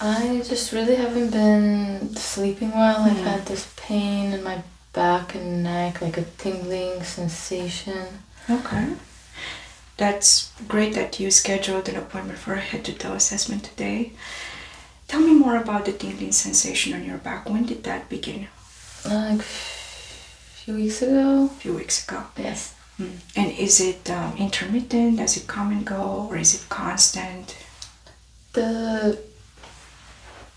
I just really haven't been sleeping well. I've hmm. had this pain in my back and neck, like a tingling sensation. Okay. That's great that you scheduled an appointment for a head to toe assessment today. Tell me more about the tingling sensation on your back. When did that begin? Like a few weeks ago. A few weeks ago. Yes. Hmm. And is it um, intermittent? Does it come and go, or is it constant? The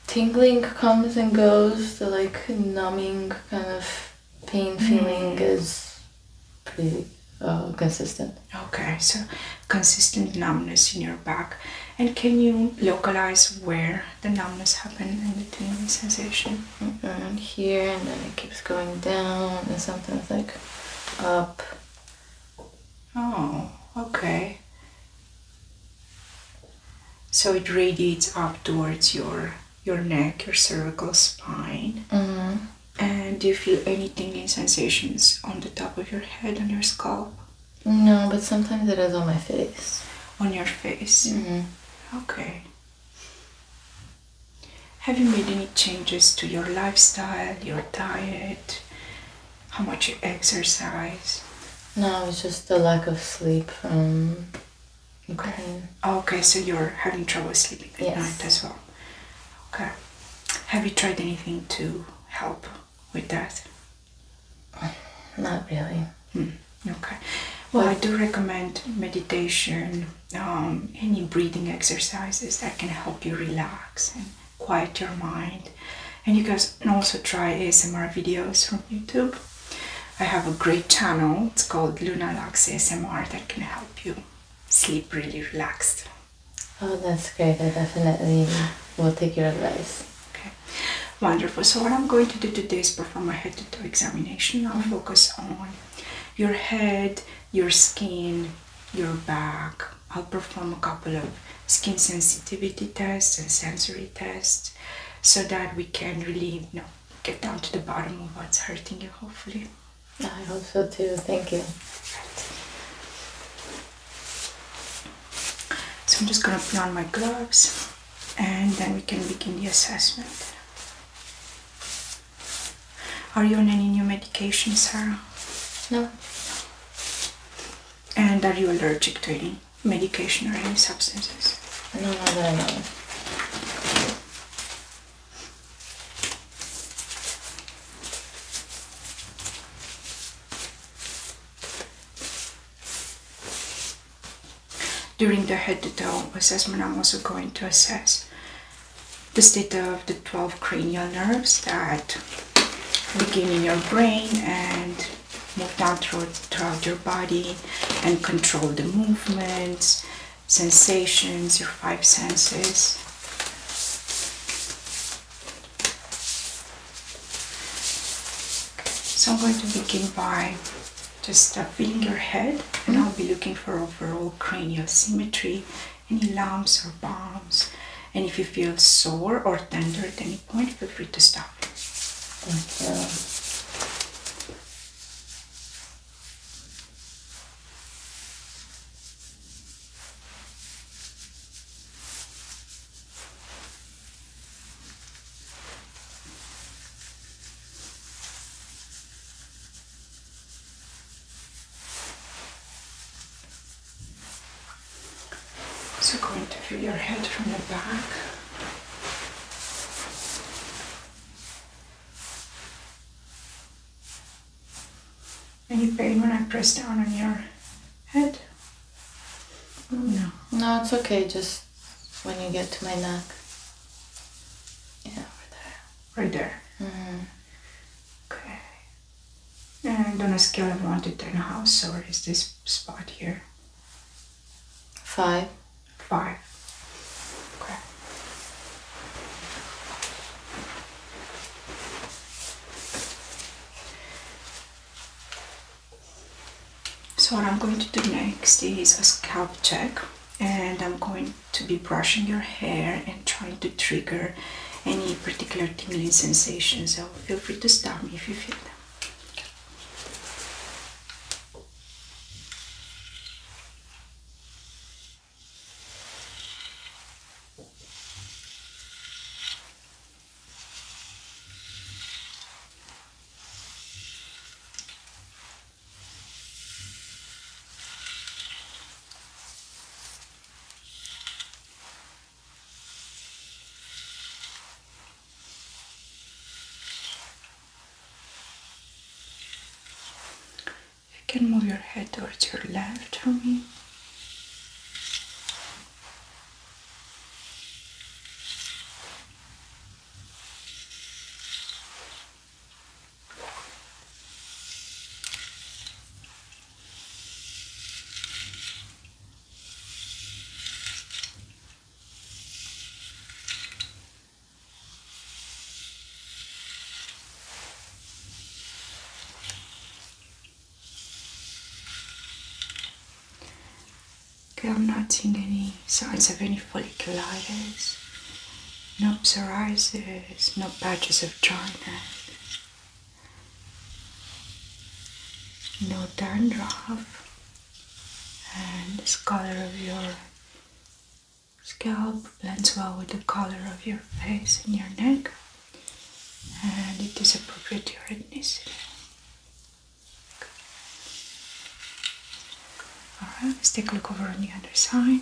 tingling comes and goes. The like numbing kind of pain mm. feeling is pretty uh, consistent. Okay, so consistent numbness in your back. And can you localize where the numbness happened and the tingling sensation? Around mm-hmm. here, and then it keeps going down, and sometimes like up. Oh, okay. So it radiates up towards your your neck, your cervical spine. Mm-hmm. And do you feel anything in sensations on the top of your head, on your scalp? No, but sometimes it is on my face. On your face? Mm-hmm. Okay. Have you made any changes to your lifestyle, your diet, how much you exercise? No, it's just the lack of sleep from Okay, so you're having trouble sleeping at night as well. Okay. Have you tried anything to help with that? Not really. Hmm, okay. Well, I do recommend meditation, um, any breathing exercises that can help you relax and quiet your mind. And you guys can also try ASMR videos from YouTube. I have a great channel, it's called Lunalax ASMR, that can help you sleep really relaxed. Oh, that's great. I definitely will take your advice. Okay, wonderful. So, what I'm going to do today is perform a head to toe examination. I'll mm-hmm. focus on your head, your skin, your back. I'll perform a couple of skin sensitivity tests and sensory tests so that we can really you know, get down to the bottom of what's hurting you, hopefully. I hope so too. Thank you. So I'm just going to put on my gloves and then we can begin the assessment. Are you on any new medication, Sarah? No. And are you allergic to any medication or any substances? No, not that I During the head-to-toe assessment, I'm also going to assess the state of the 12 cranial nerves that begin in your brain and move down throughout your body and control the movements, sensations, your five senses. So I'm going to begin by just uh, feeling your head and I'll be looking for overall cranial symmetry any lumps or bumps. And if you feel sore or tender at any point, feel free to stop. So going to feel your head from the back. Any pain when I press down on your head? Mm, no. No, it's okay, just when you get to my neck. Yeah, over there. Right there. Mm-hmm. Okay. And on a scale of 1 to 10, how sore is this spot here? 5. 5. Okay. So what I'm going to do next is a scalp check and I'm going to be brushing your hair and trying to trigger any particular tingling sensation. So feel free to stop me if you feel them. Okay. You can move your head towards your left for me. Okay, I'm not seeing any signs of any folliculitis, no psoriasis, no patches of dryness no dandruff and this color of your scalp blends well with the color of your face and your neck and it is appropriate for your ethnicity Alright, let's take a look over on the other side.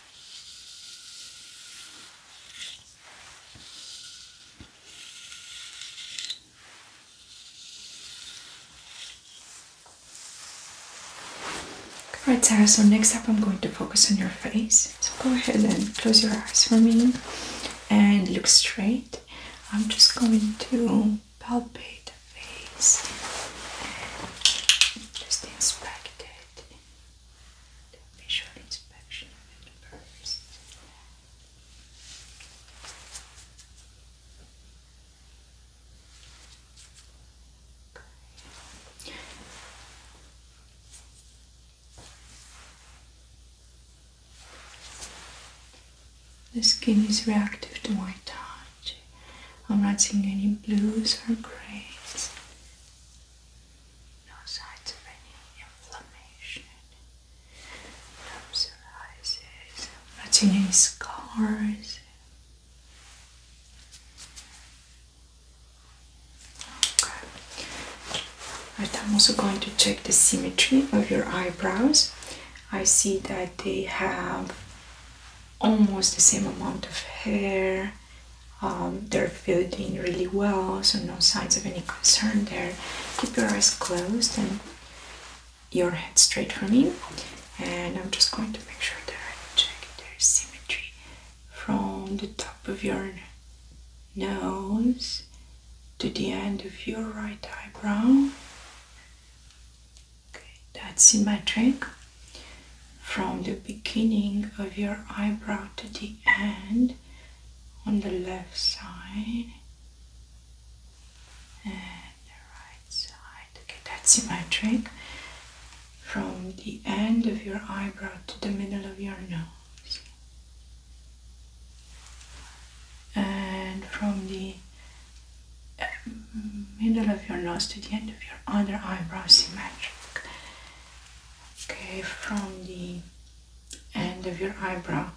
Alright Sarah, so next up I'm going to focus on your face. So go ahead and close your eyes for me and look straight. I'm just going to palpate just inspect visual inspection of it first. The skin is reactive to my touch. I'm not seeing any blues or grays. No signs of any inflammation. No psoriasis. not seeing any scars. Okay. I'm also going to check the symmetry of your eyebrows. I see that they have almost the same amount of hair. Um, they're filled in really well, so no signs of any concern there. Keep your eyes closed and your head straight for me. And I'm just going to make sure that I check their symmetry from the top of your nose to the end of your right eyebrow. Okay, that's symmetric from the beginning of your eyebrow to the end on the left side and the right side. Okay, that's symmetric from the end of your eyebrow to the middle of your nose. And from the middle of your nose to the end of your other eyebrow symmetric. Okay, from the end of your eyebrow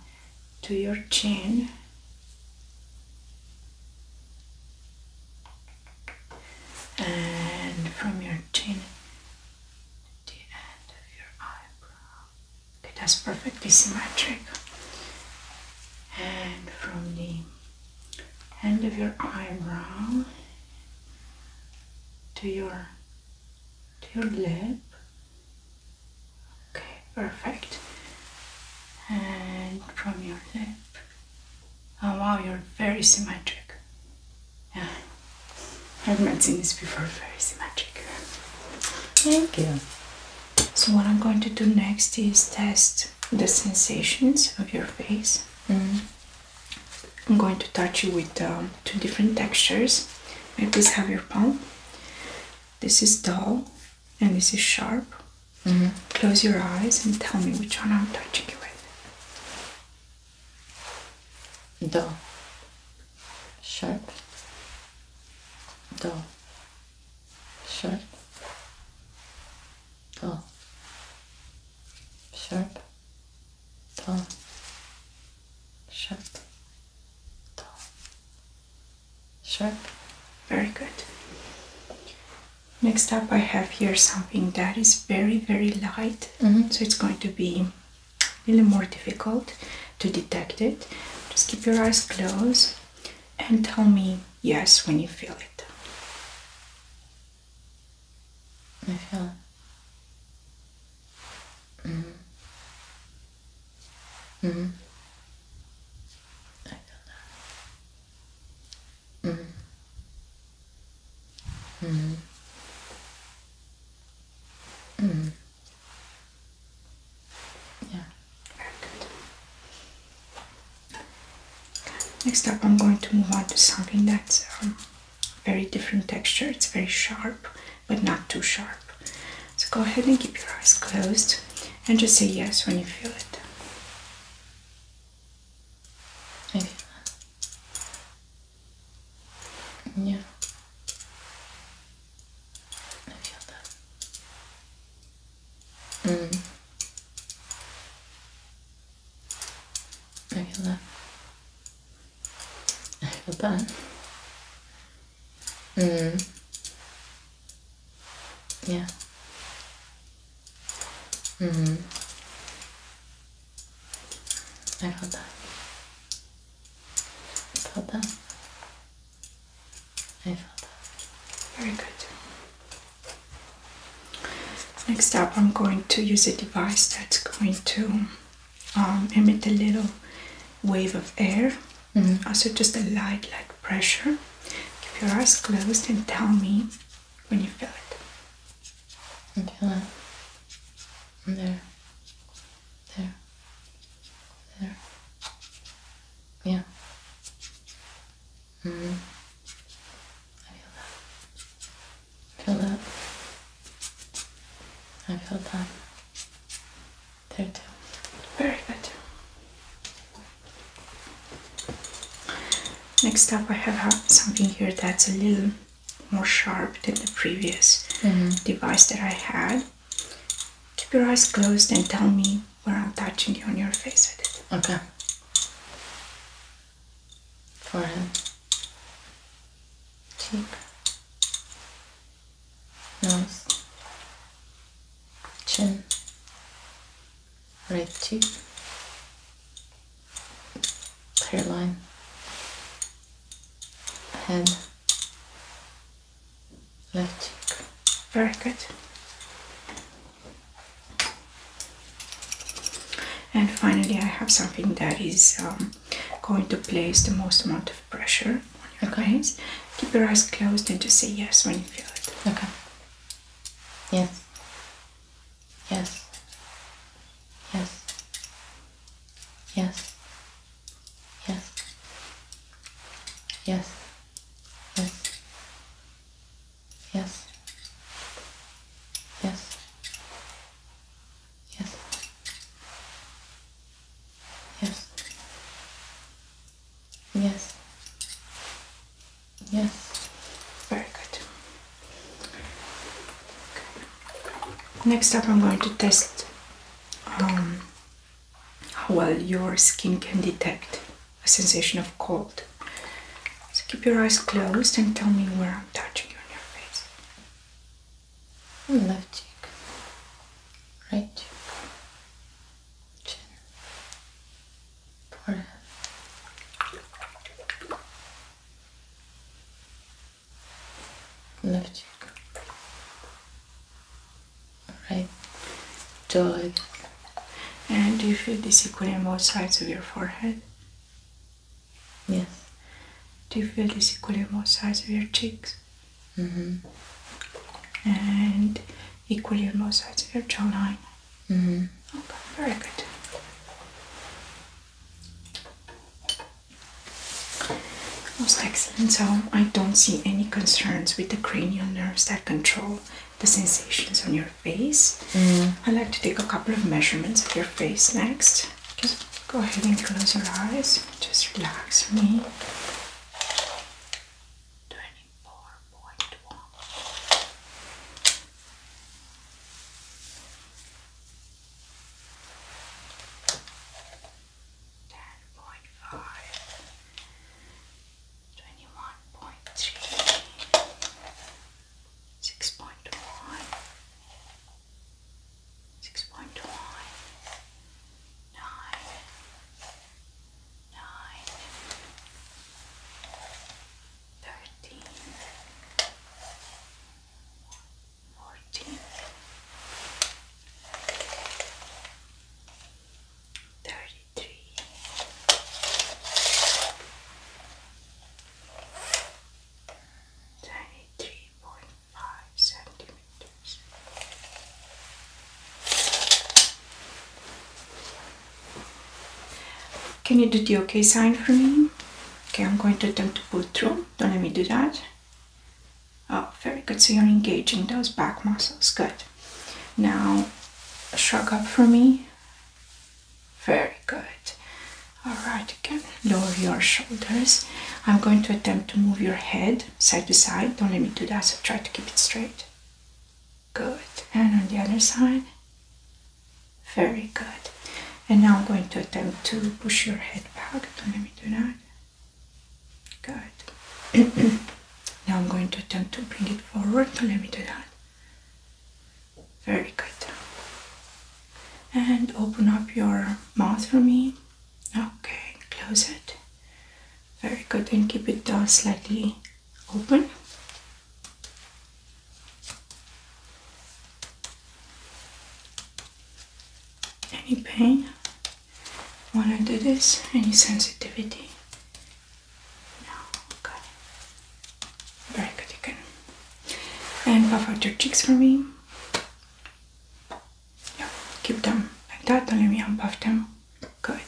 to your chin. And from your chin Okay, that's perfectly symmetric. And from the end of your eyebrow to your to your lip. Okay, perfect. And from your lip. Oh, wow, you're very symmetric. Yeah. I've not seen this before, very symmetric. Thank you. So what I'm going to do next is test the sensations of your face. Mm-hmm. I'm going to touch you with um, two different textures. May I please have your palm? This is dull and this is sharp. Mm-hmm. Close your eyes and tell me which one I'm touching you with. Dull. Sharp. Dull. Sharp. Dull sharp, tall, sharp, tall, sharp. Very good. Next up, I have here something that is very, very light, mm-hmm. so it's going to be a little more difficult to detect it. Just keep your eyes closed and tell me yes when you feel it. I feel it. Mm hmm. Mm mm-hmm. I feel that. Mm hmm. Mm hmm. Mm. Yeah. Very good. Next up, I'm going to move on to something that's um, very different texture. It's very sharp, but not too sharp. So go ahead and keep your eyes closed and just say yes when you feel it. Maybe. Yeah. I feel that. Mm regular overburn. Mm. Yeah. Mm. I got that. I felt that. I felt that. Very good. Next up, I'm going to use a device that's going to um, emit a little wave of air. Mm -hmm. Also, just a light, light pressure. Keep your eyes closed and tell me when you feel it. I feel it. There. There. There. Yeah. Mm -hmm. I feel that. I feel that. I feel that. There too. Very good. Next up, I have something here that's a little more sharp than the previous mm-hmm. device that I had. Keep your eyes closed and tell me where I'm touching you on your face with it. Okay forehead, cheek, nose, chin, right cheek, hairline, head, left cheek. Very good. And finally, I have something that is um, going to place the most amount of pressure on your eyes. Keep your eyes closed and just say yes when you feel it. Okay. Yes. Yes. Yes. Yes. Yes. Yes. Yes. Yes. Yes. Yes. Yes. Very good. Next up, I'm going to test um, how well your skin can detect a sensation of cold. So keep your eyes closed and tell me where I'm touching you on your face. Left cheek, right cheek, chin, forehead. Left cheek, right jaw. And do you feel this equally on both sides of your forehead? Yes. Do you feel this equilibrium size of your cheeks? Mm-hmm. And equilibrium size of your jawline? Mm-hmm. Okay, very good. Most excellent. So I don't see any concerns with the cranial nerves that control the sensations on your face. Mm. i like to take a couple of measurements of your face next. Just go ahead and close your eyes. Just relax for me. 24.1. Ten point five, twenty-one point three, six point one, six point one, nine, nine, thirteen, fourteen, thirty-three. 33 34 35 36 93.5 centimeters. Can you do the OK sign for me? Okay, I'm going to attempt to pull through. Don't let me do that. Oh, very good. So you're engaging those back muscles. Good. Now, shrug up for me. Very good. Alright, again, lower your shoulders. I'm going to attempt to move your head side to side. Don't let me do that, so try to keep it straight. Good. And on the other side. Very good. And now I'm going to attempt to push your head back. Don't let me do that. Good. now I'm going to attempt to bring it forward. Don't let me do that. Very good. And open up your mouth for me. Okay, close it. Very good. And keep it uh, slightly open. Any pain? when I do this? Any sensitivity? No, okay. Very good, you can. And puff out your cheeks for me. Yeah, keep them like that, only me unbuff them. Good.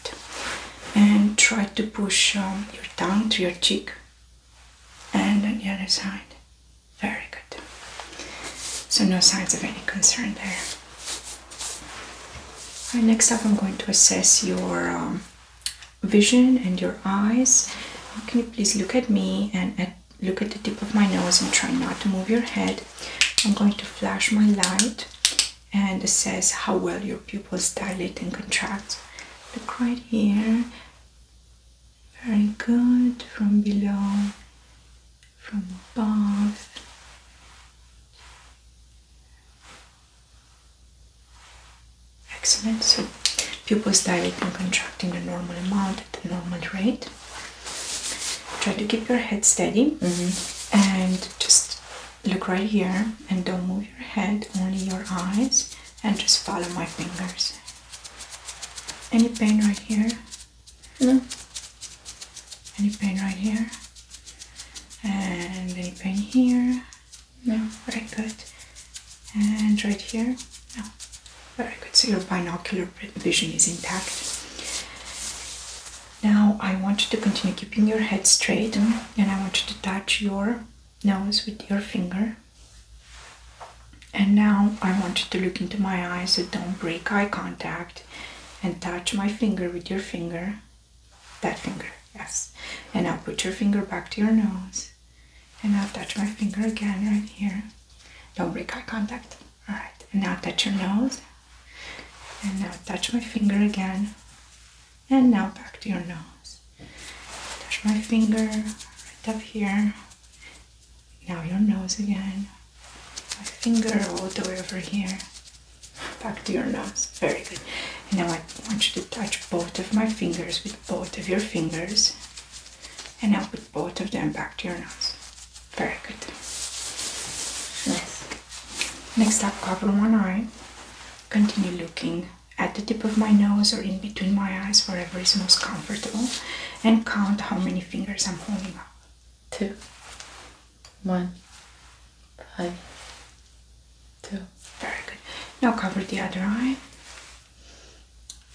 And try to push um, your tongue to your cheek and on the other side. Very good. So, no signs of any concern there. Right, next up, I'm going to assess your um, vision and your eyes. Can you please look at me and look at the tip of my nose and try not to move your head? I'm going to flash my light and it says how well your pupils dilate and contract. Look right here. Very good. From below, from above. Excellent. So pupils dilate and contract in the normal amount at the normal rate. Try to keep your head steady mm-hmm. and just look right here and don't move your head, only your eyes, and just follow my fingers. Any pain right here? No. Any pain right here? And any pain here? No, very good. And right here? No. Very good. So your binocular vision is intact. Now I want you to continue keeping your head straight and I want you to touch your nose with your finger. And now I want you to look into my eyes, so don't break eye contact and touch my finger with your finger. That finger, yes. And now put your finger back to your nose right. And now touch my finger again right here. Don't break eye contact. Alright. now touch your nose. And now touch my finger again. And now back to your nose. Touch my finger right up here. Now your nose again. My finger all the way over here. Back to your nose. Very good now I want you to touch both of my fingers with both of your fingers. And now put both of them back to your nose. Very good. Nice. Next up, cover one eye. Continue looking at the tip of my nose or in between my eyes, wherever is most comfortable, and count how many fingers I'm holding up. Two, one, five, two. Very good. Now cover the other eye.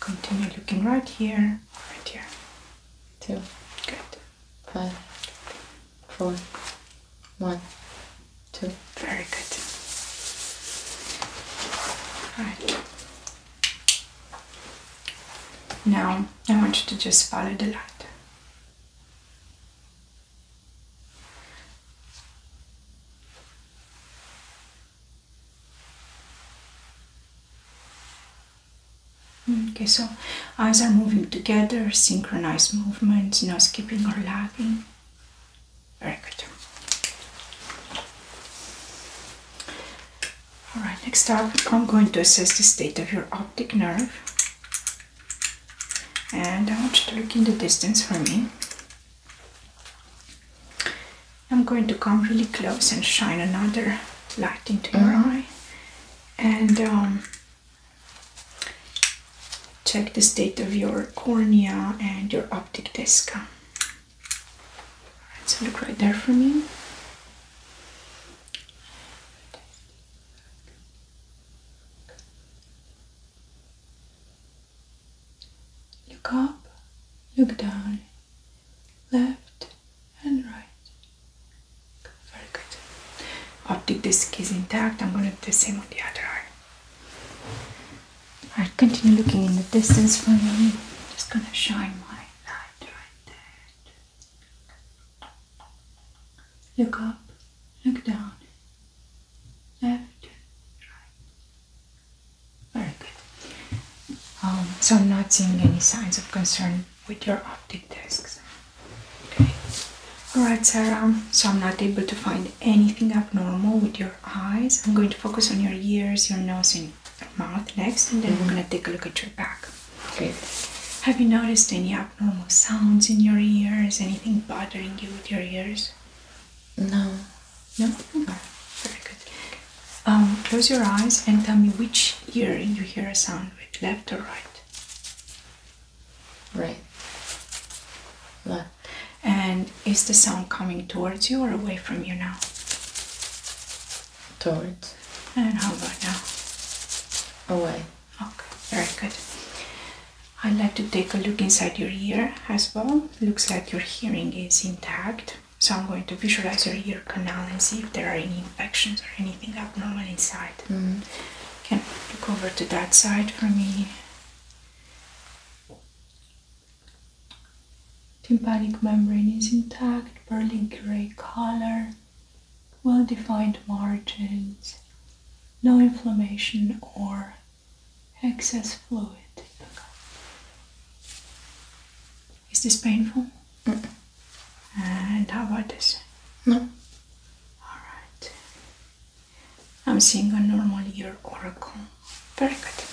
Continue looking right here, right here. Two. Good. Five. Very good. Alright. Now I want you to just follow the light. Mm, okay, so eyes are moving together, synchronized movements, no skipping or lagging. Very good. Alright, next up, I'm going to assess the state of your optic nerve. And I want you to look in the distance for me. I'm going to come really close and shine another light into your mm-hmm. eye and um, check the state of your cornea and your optic disc. Alright, so look right there for me. Look up, look down, left and right. Very good. Optic disc is intact. I'm going to do the same on the other eye. I'll continue looking in the distance for you. just going to shine my light right there. Look up, look down, left, right. Very good. Um, so I'm not seeing any signs of concern with your optic discs. Okay. Alright, Sarah. So I'm not able to find anything abnormal with your eyes. I'm going to focus on your ears, your nose, and mouth next, and then we're going to take a look at your back. Great. Have you noticed any abnormal sounds in your ears? Anything bothering you with your ears? No. No? Very good. Um, close your eyes and tell me which ear you hear a sound with, left or right? Right. Left. And is the sound coming towards you or away from you now? Towards. And how about now? Away. Okay, very good. I'd like to take a look inside your ear as well. Looks like your hearing is intact. So I'm going to visualize your ear canal and see if there are any infections or anything abnormal inside. Mm. Can look over to that side for me. Tympanic membrane is intact, pearly gray color, well defined margins, no inflammation or excess fluid. Is this painful? And how about this? No. Alright. I'm seeing a normal year oracle. Very good.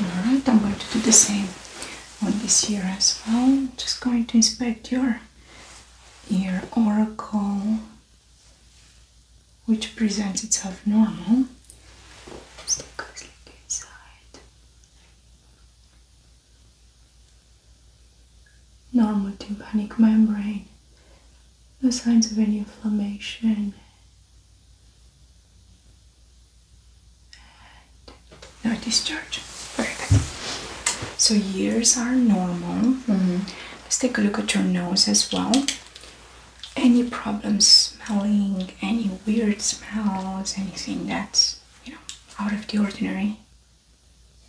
Alright, I'm going to do the same on this year as well. Just going to inspect your ear oracle which presents itself normal. Just a look inside. Normal tympanic membrane. No signs of any inflammation. no discharge. Very good. So ears are normal. Mm-hmm. Let's take a look at your nose as well any problems smelling, any weird smells, anything that's you know out of the ordinary?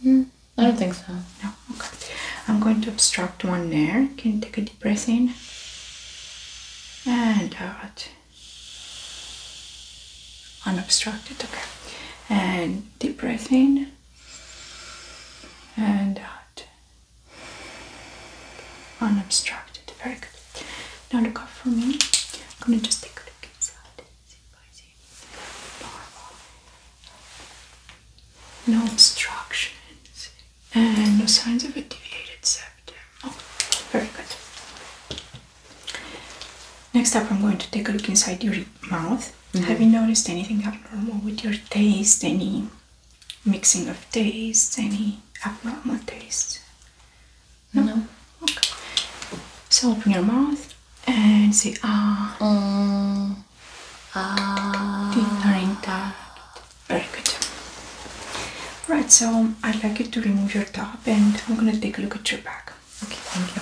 Hmm, I don't think so. No, okay. I'm going to obstruct one there. Can you take a deep breath in and out? Unobstructed, okay. And deep breath in and out unobstructed. Very good. Now look up for me. I'm gonna just take a look inside. No obstructions and no signs of a deviated septum. Oh, very good. Next up, I'm going to take a look inside your mouth. Have you noticed anything abnormal with your taste? Any mixing of tastes, any abnormal taste? No. Okay. So open your mouth and say ah. Mm. Ah. Teeth Very good. Right. So I'd like you to remove your top, and I'm gonna take a look at your back. Okay. Thank you.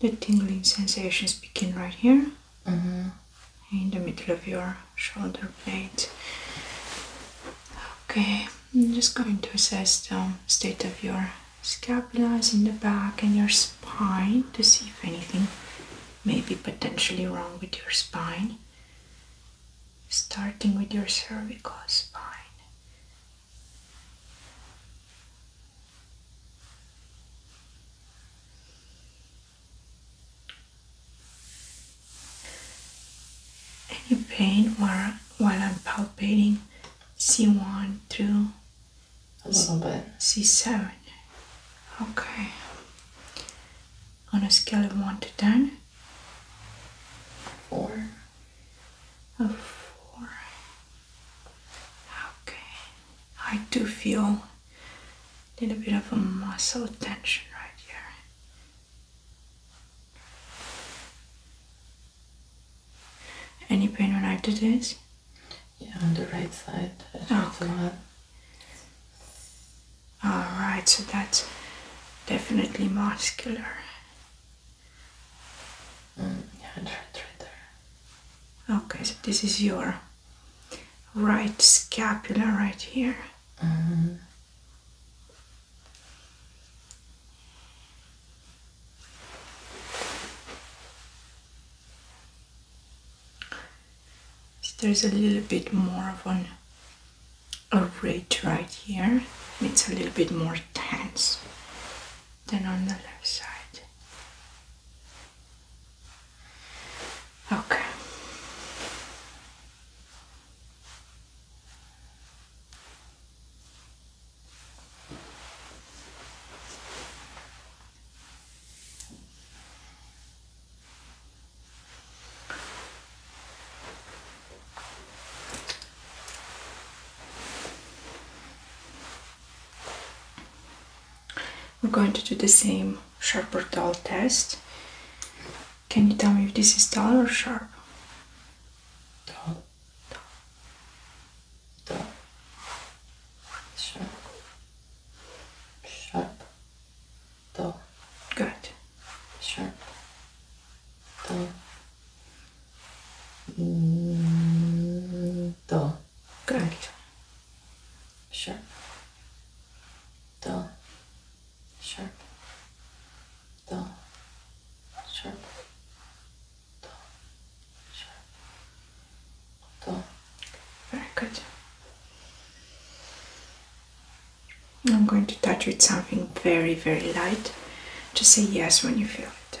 The tingling sensations begin right here mm-hmm. in the middle of your shoulder blade. Okay, I'm just going to assess the state of your scapulas in the back and your spine to see if anything may be potentially wrong with your spine. Starting with your cervical spine. Any pain while, while I'm palpating C1 through a little bit C7? Okay. On a scale of 1 to 10? A 4. Okay, I do feel a little bit of a muscle tension right here. Any pain when I do this? Yeah, on the right side. Okay. Alright, so that's definitely muscular. Mm, okay, so this is your right scapula right here. Mm-hmm. So there's a little bit more of an a ridge right here. It's a little bit more tense. Then on the left side. Okay. We're going to do the same sharp or dull test. Can you tell me if this is dull or sharp? Dull. Dull. Dull. Sharp. Sharp. Dull. Good. Sharp. Dull. To. Correct. Sharp. To. Sharp. To. Sharp. To. Sharp. To. Very good. I'm going to touch with something very, very light. Just say yes when you feel it.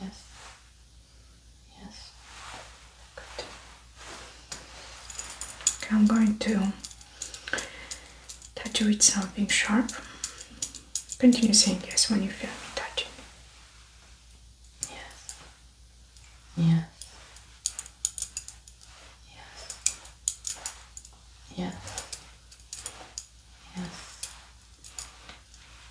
Yes. Yes. Good. I'm going to touch you with something sharp. Continue saying yes when you feel me touching. Yes. Yes. Yes. Yes. Yes.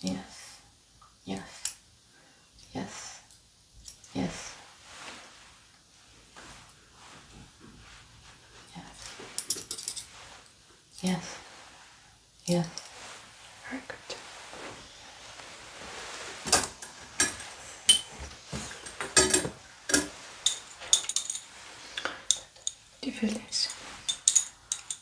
yes, yes, yes, yes. Yes. Yes. Very good. Do you feel this?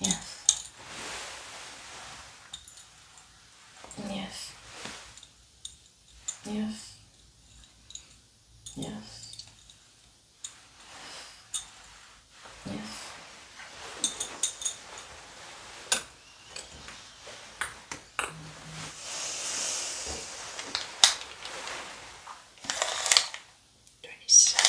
Yes. Yes. Yes. Yes. Yes. Twenty seven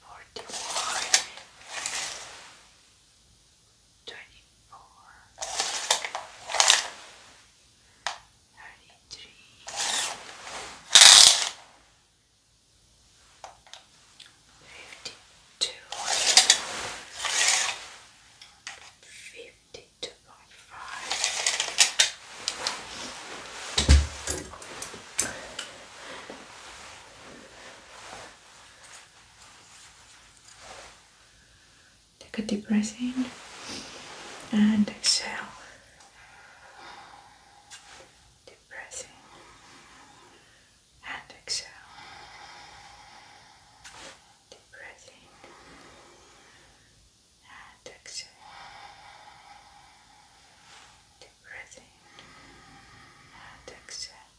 forty-one, twenty-four, thirty-three, fifty-two, fifty-two point five. Take a deep breath in and exhale. Deep breath in and exhale. Deep breath in and exhale. Deep breath in and exhale.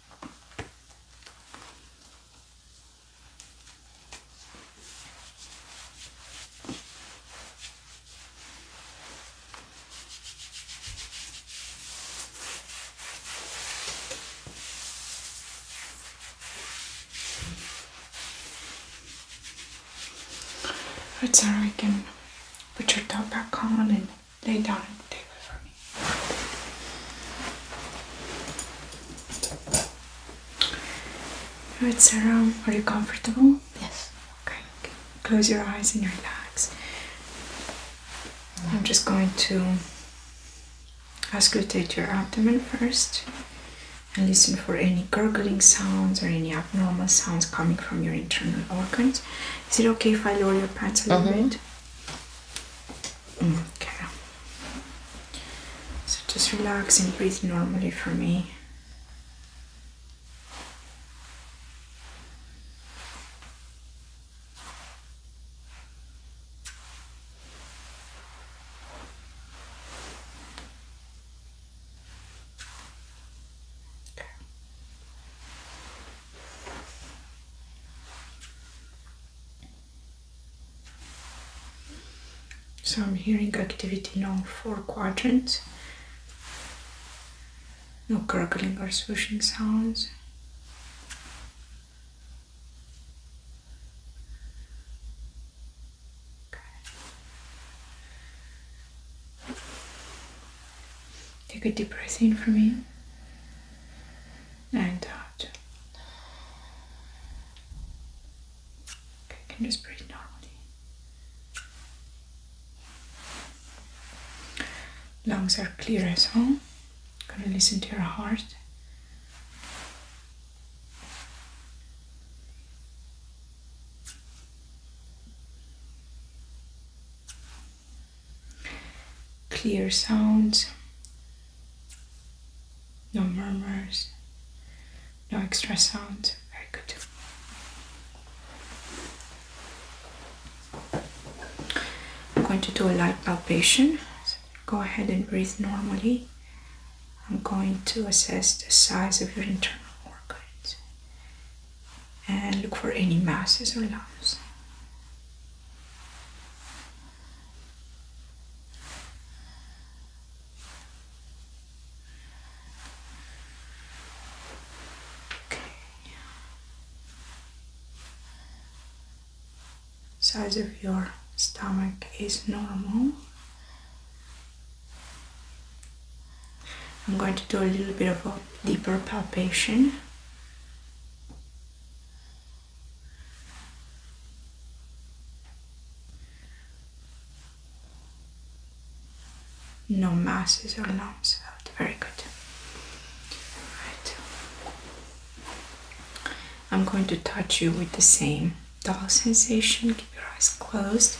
It's alright, you can put your top back on and lay down on the table for me. Alright, Sarah, Are you comfortable? Yes. Okay. Close your eyes and relax. I'm just going to auscultate your abdomen first and listen for any gurgling sounds or any abnormal sounds coming from your internal organs. Is it okay if I lower your pants a little mm-hmm. bit? Okay. So just relax and breathe normally for me. Okay. So I'm hearing activity now. all four quadrants. No gurgling or swishing sounds. Take a deep breath in for me and out. Uh, okay, I can just breathe normally. Lungs are clear as home. Gonna listen to your heart clear sounds, no murmurs, no extra sounds. Very good. I'm going to do a light palpation. go ahead and breathe normally. I'm going to assess the size of your internal organs and look for any masses or lumps. Size of your stomach is normal. I'm going to do a little bit of a deeper palpation. No masses or lumps Very good. I'm going to touch you with the same dull sensation. Keep your eyes closed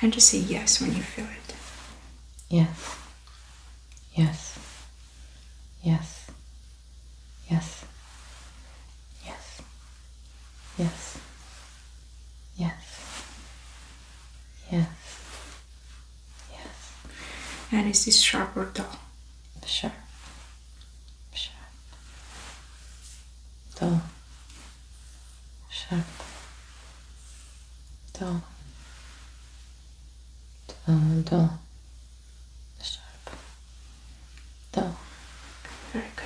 and just say yes when you feel it. Yes. Yes. Yes. Yes. Yes. Yes. Yes. Yes. Yes. And is this sharp or dull? Sharp. Sharp. Dull. Sharp. Dull. Dull. Dull sharp though. Very good.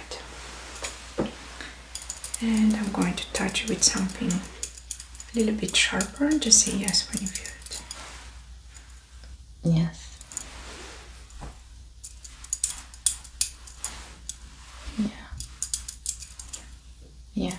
And I'm going to touch it with something a little bit sharper. Just say yes when you feel it. Yes. Yeah. Yeah.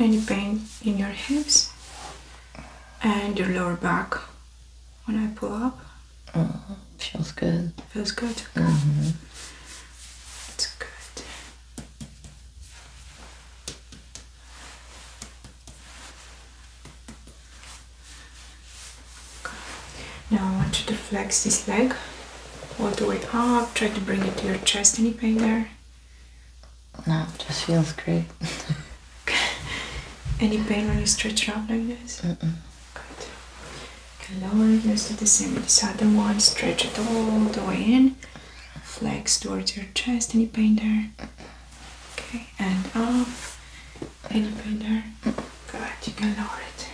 Any pain in your hips and your lower back when I pull up? Mm-hmm. feels good. Feels good. It's mm-hmm. good. Now I want you to flex this leg. All the way up, try to bring it to your chest. Any pain there? No, just feels great. Any pain when you stretch it out like this? Mm -mm. Good. You can lower it, let's do the same with this other one. Stretch it all the way in. Flex towards your chest. Any pain there? Okay, and up. Any pain there? Good, you can lower it.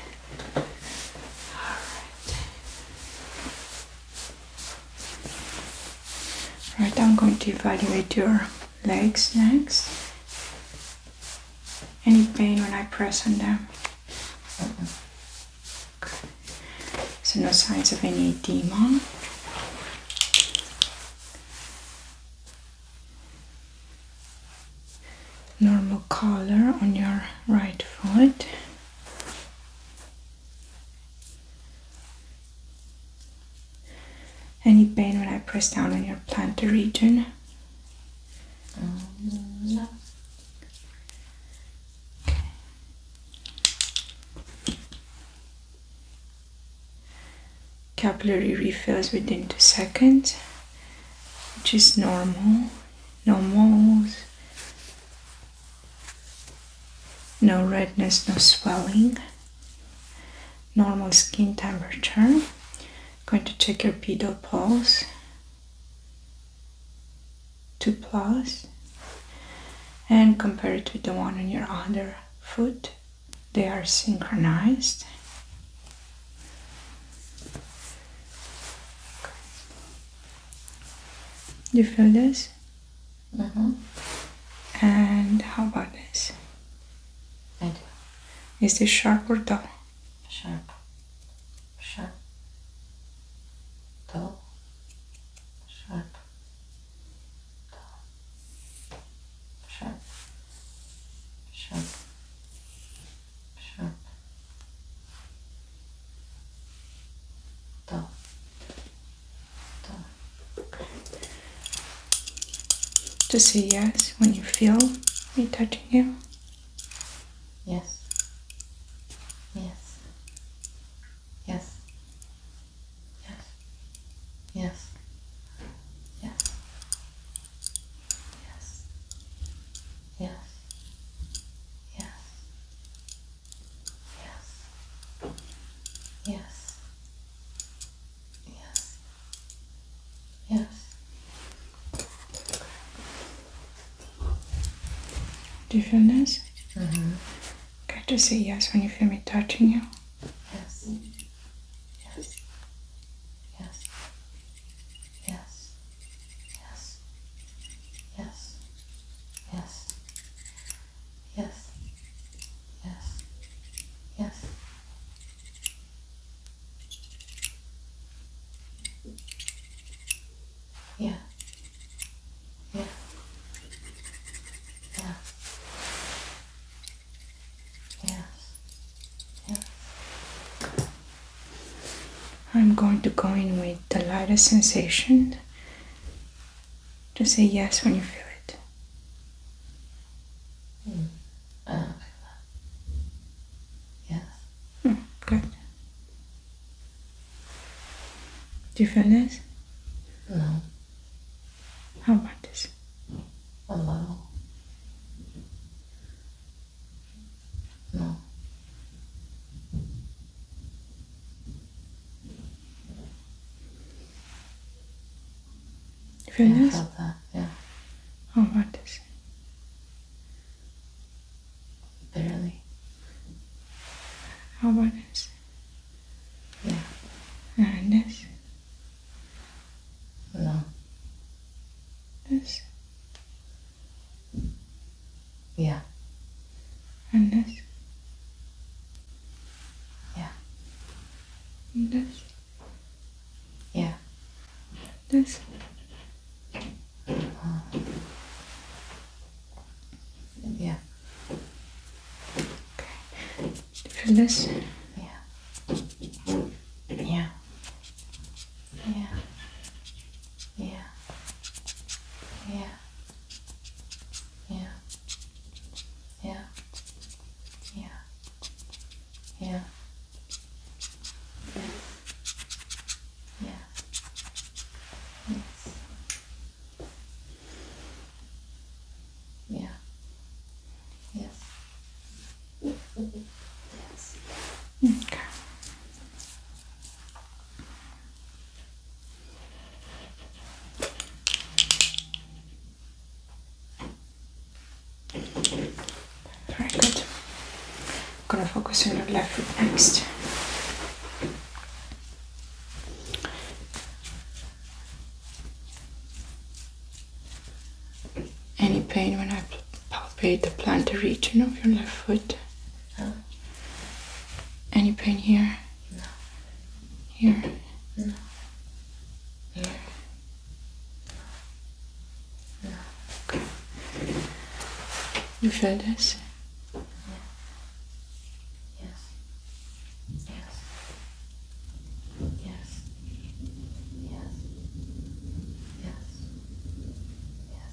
Right, I'm going to evaluate your legs next. Any pain when I press on them? So no signs of any demon normal color on your right foot. Any pain when I press down on your plantar region? Mm, Capillary refills within two seconds, which is normal no moles, no redness, no swelling, normal skin temperature. going to check your pedal pulse. 2 plus and compare it with the one on your other foot. They are synchronized you feel this? Mm -hmm. And how about this? I do. Is this sharp or dull? Sharp. Sharp. Dull. Sharp. Dull. Sharp. Sharp sharp dull dull okay. just say yes when you feel me touching you yes yes yes yes yes yes yes yeah. Yes. Yes. Yes. Yes. Yes. Do you feel nice? Mm -hmm. Good to say yes when you feel me touching you. Yes. Yes. Yes. Yes. Yes. Yes. Yes. Yes. Yes. Yes. Yeah. Yeah. Yeah. Yes. Yes. I'm going to go in with the lightest sensation to say yes when you feel it. Yes. Mm. Uh, hmm, good. Do you feel this? No. How about this? Hello. No. yeah, this? I felt that, yeah. How oh, hard is Barely. How about this? Yeah. And this? No. This? Yeah. And this. Yeah. And this. Yeah. And this. Uh-huh. yeah. Okay. this. Yeah. Yeah. Yeah. Yeah. Yeah. Yeah. Yeah. Yeah. Yeah. Yes. Yeah. Yes. Yes. Okay. Very good. I'm gonna focus on the left foot next. Any pain when I palpate the plantar region of your left foot. Any pain here? Here? Here? Okay. You feel this? Yes. Yes. Yes. Yes. Yes. Yes.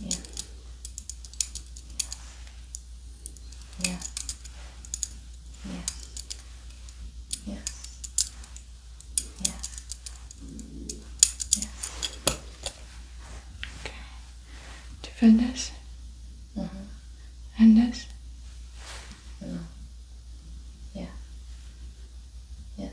Yeah. Yeah. Yes. Yes. Yes. Yes. Okay. To finish. Uh huh. And this. No. Yeah. Yes.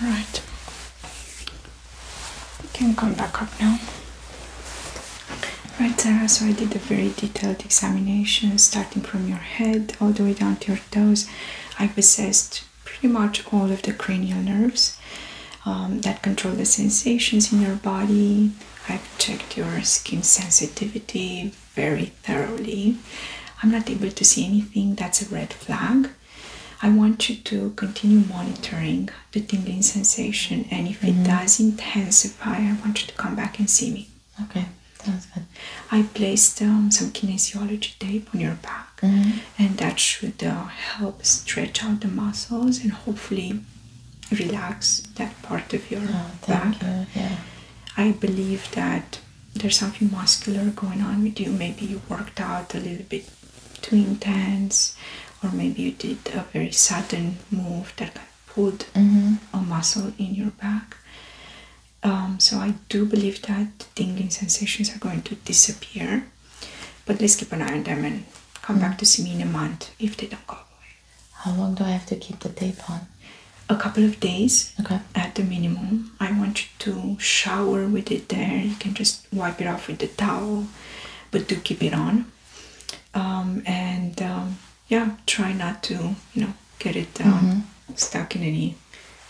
All right. You can come back up now. Right, Sarah, so I did a very detailed examination starting from your head all the way down to your toes. I've assessed pretty much all of the cranial nerves um, that control the sensations in your body. I've checked your skin sensitivity, very thoroughly. I'm not able to see anything that's a red flag. I want you to continue monitoring the tingling sensation, and if it mm-hmm. does intensify, I want you to come back and see me. Okay, that's good. I placed um, some kinesiology tape on your back, mm-hmm. and that should uh, help stretch out the muscles and hopefully relax that part of your oh, back. Yeah. I believe that there's something muscular going on with you. Maybe you worked out a little bit too intense, or maybe you did a very sudden move that kind of pulled mm-hmm. a muscle in your back. Um, so I do believe that tingling sensations are going to disappear, but let's keep an eye on them and come back mm. to see me in a month if they don't go away. How long do I have to keep the tape on? a couple of days at the minimum. I want you to shower with it there. You can just wipe it off with the towel, but do keep it on. Um, and um, yeah, try not to, you know, get it um, mm-hmm. stuck in any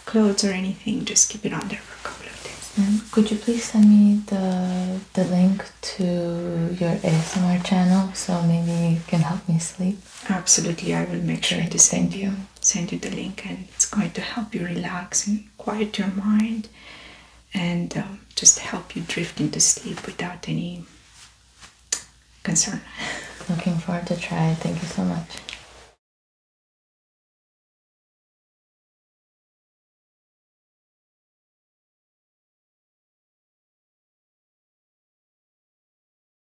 clothes or anything. Just keep it on there for a couple of days. Mm Could you please send me the the link to your ASMR channel so maybe you can help me sleep? Absolutely, I will make sure to send you send you the link and it's going to help you relax and quiet your mind and um, just help you drift into sleep without any concern. Looking forward to try. Thank you so much.